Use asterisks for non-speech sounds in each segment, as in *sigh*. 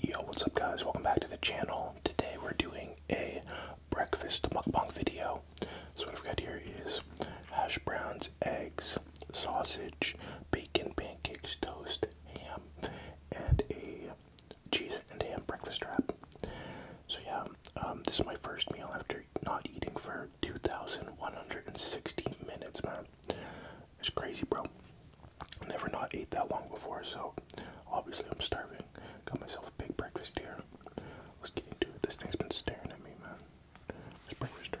Yo, what's up guys? Welcome back to the channel. Today we're doing a breakfast mukbang video. So what I've got here is hash browns, eggs, sausage, bacon, pancakes, toast, ham, and a cheese and ham breakfast wrap. So yeah, um, this is my first meal after not eating for 2,160 minutes, man. It's crazy, bro never not ate that long before, so obviously I'm starving. Got myself a big breakfast here. Let's get into it. This thing's been staring at me, man. This breakfast trap.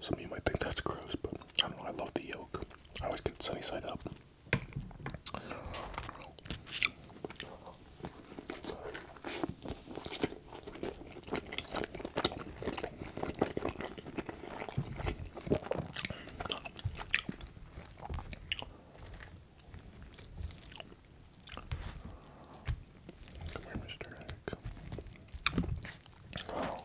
Some of you might think that's gross, but I don't know. I love the yolk. I always get it sunny side up. Come here, Mr. Egg. Wow.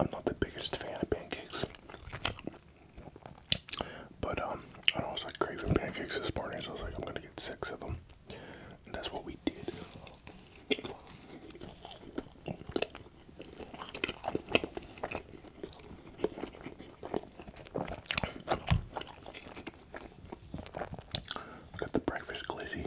I'm not the biggest fan of pancakes, but um, I was like craving pancakes this morning, so I was like, I'm gonna get six of them, and that's what we did. Got the breakfast glizzy.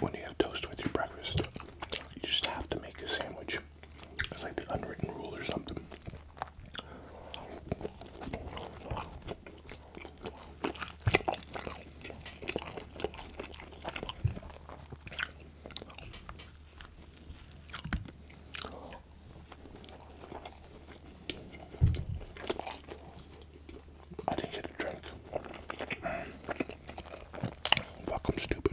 When you have toast with your breakfast, you just have to make a sandwich. It's like the unwritten rule or something. I didn't get a drink. Fuck, stupid.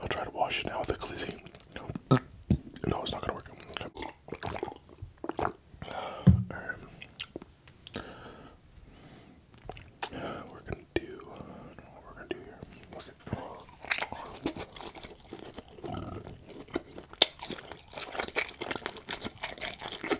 I'll try to wash it now with a glizzy. No, it's not gonna work. Um, we're gonna do. what we're gonna do here.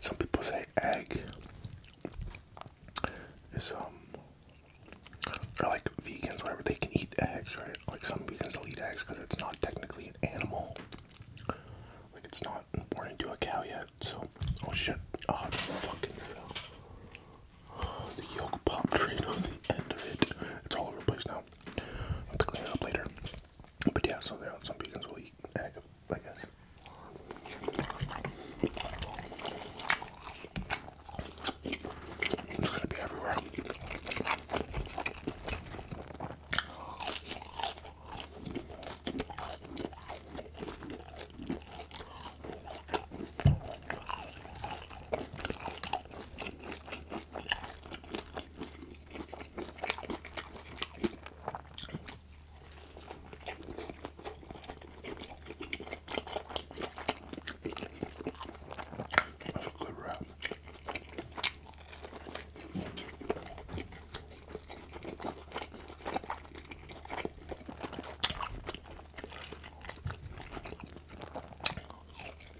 Some people say egg is um or like vegans whatever they can eat eggs right like some vegans eat eggs because it's not technically an animal like it's not born into a cow yet so oh shit oh the fucking fell. the yolk popped right on the end of it it's all over the place now I'll clean up later. But yeah, so there are some vegans will eat egg, I guess. It's gonna be everywhere. That's a good wrap.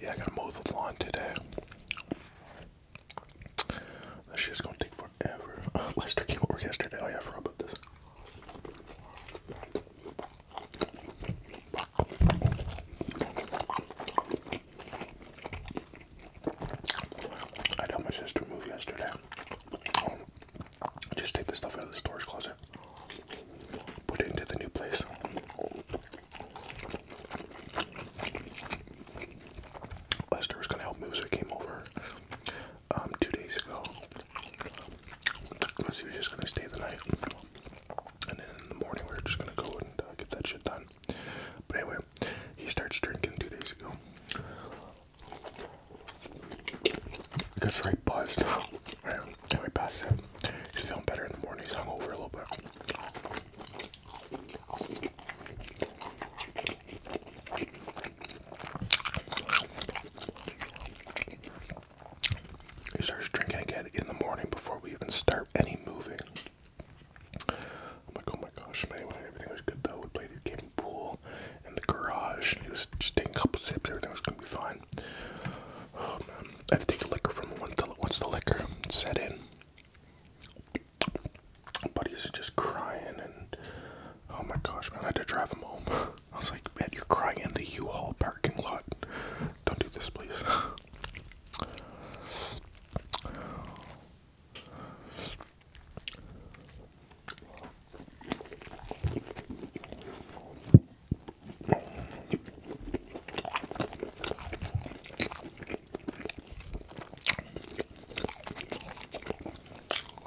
Yeah, I gotta mow the lawn today. This shit's gonna take forever. *laughs* Lester came over yesterday. Oh, yeah, I about this. I had my sister move yesterday. Just take the stuff out of the storage closet, put it into the new place. Lester was gonna help me, so I came over um, two days ago. So he was just gonna stay the night, and then in the morning we were just gonna go and uh, get that shit done. But anyway, he starts drinking two days ago. He gets right buzzed. Right, anyway, past him, he's feeling better in the morning. He's hungover a little bit. He starts drinking again in the morning before we even start any moving. I'm like, oh my gosh, man, everything was good though. We played a game pool in the garage. He was just taking couple sips, everything was gonna be fine. Oh man, I had to take the liquor from him once the, once the liquor set in but he's just crying and oh my gosh man i had to drive him home *laughs* i was like man you're crying in the u-haul parking lot don't do this please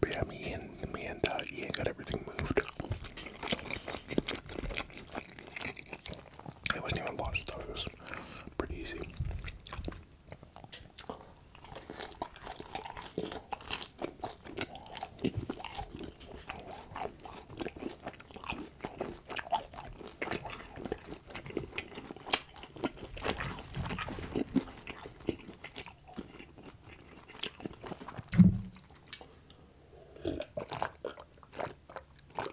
But yeah, me and me and uh, got everything moved. It wasn't even a lot of stuff, it was pretty easy.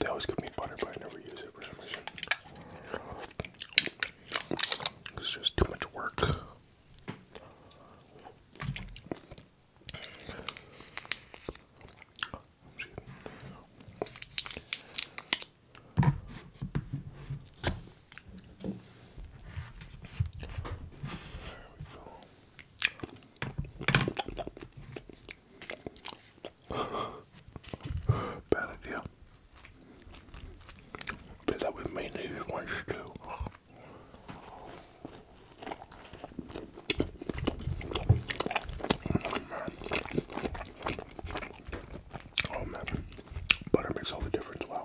They always give me butter, but I never use it for some reason. It's just too much work. Bad idea. Did that with mainly these ones too. Oh Oh man. Butter makes all the difference. Wow.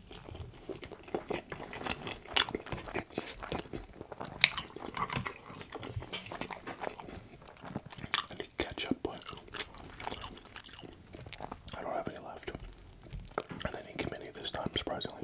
I need ketchup, but I don't have any left. I didn't get many this time, surprisingly.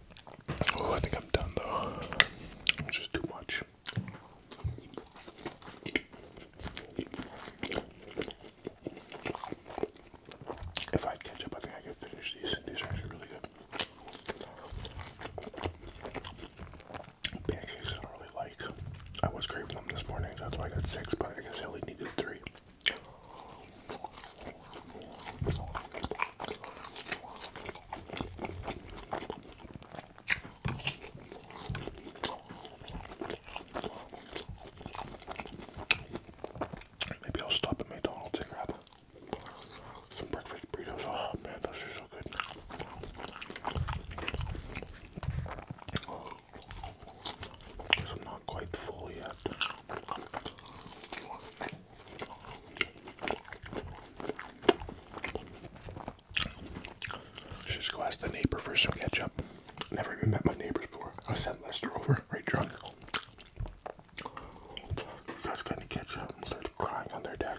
Oh, I think I'm done though. It's just too much. If I had ketchup, I think I could finish these. These are actually really good. Pancakes I really like. I was craving them this morning, so that's why I got six, but I guess I only needed three. Maybe I'll stop at McDonald's and grab some breakfast burritos. Oh man, those are so good. I'm not quite full yet. Should just go ask the neighbor for some ketchup. Never even met my neighbors before. I sent Lester over, right drunk. guys gonna ketchup and started crying on their deck.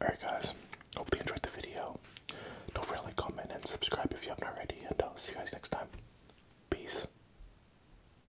Alright guys, Hopefully, you enjoyed the video. Don't forget to like, comment, and subscribe if you haven't already, and I'll see you guys next time. Peace.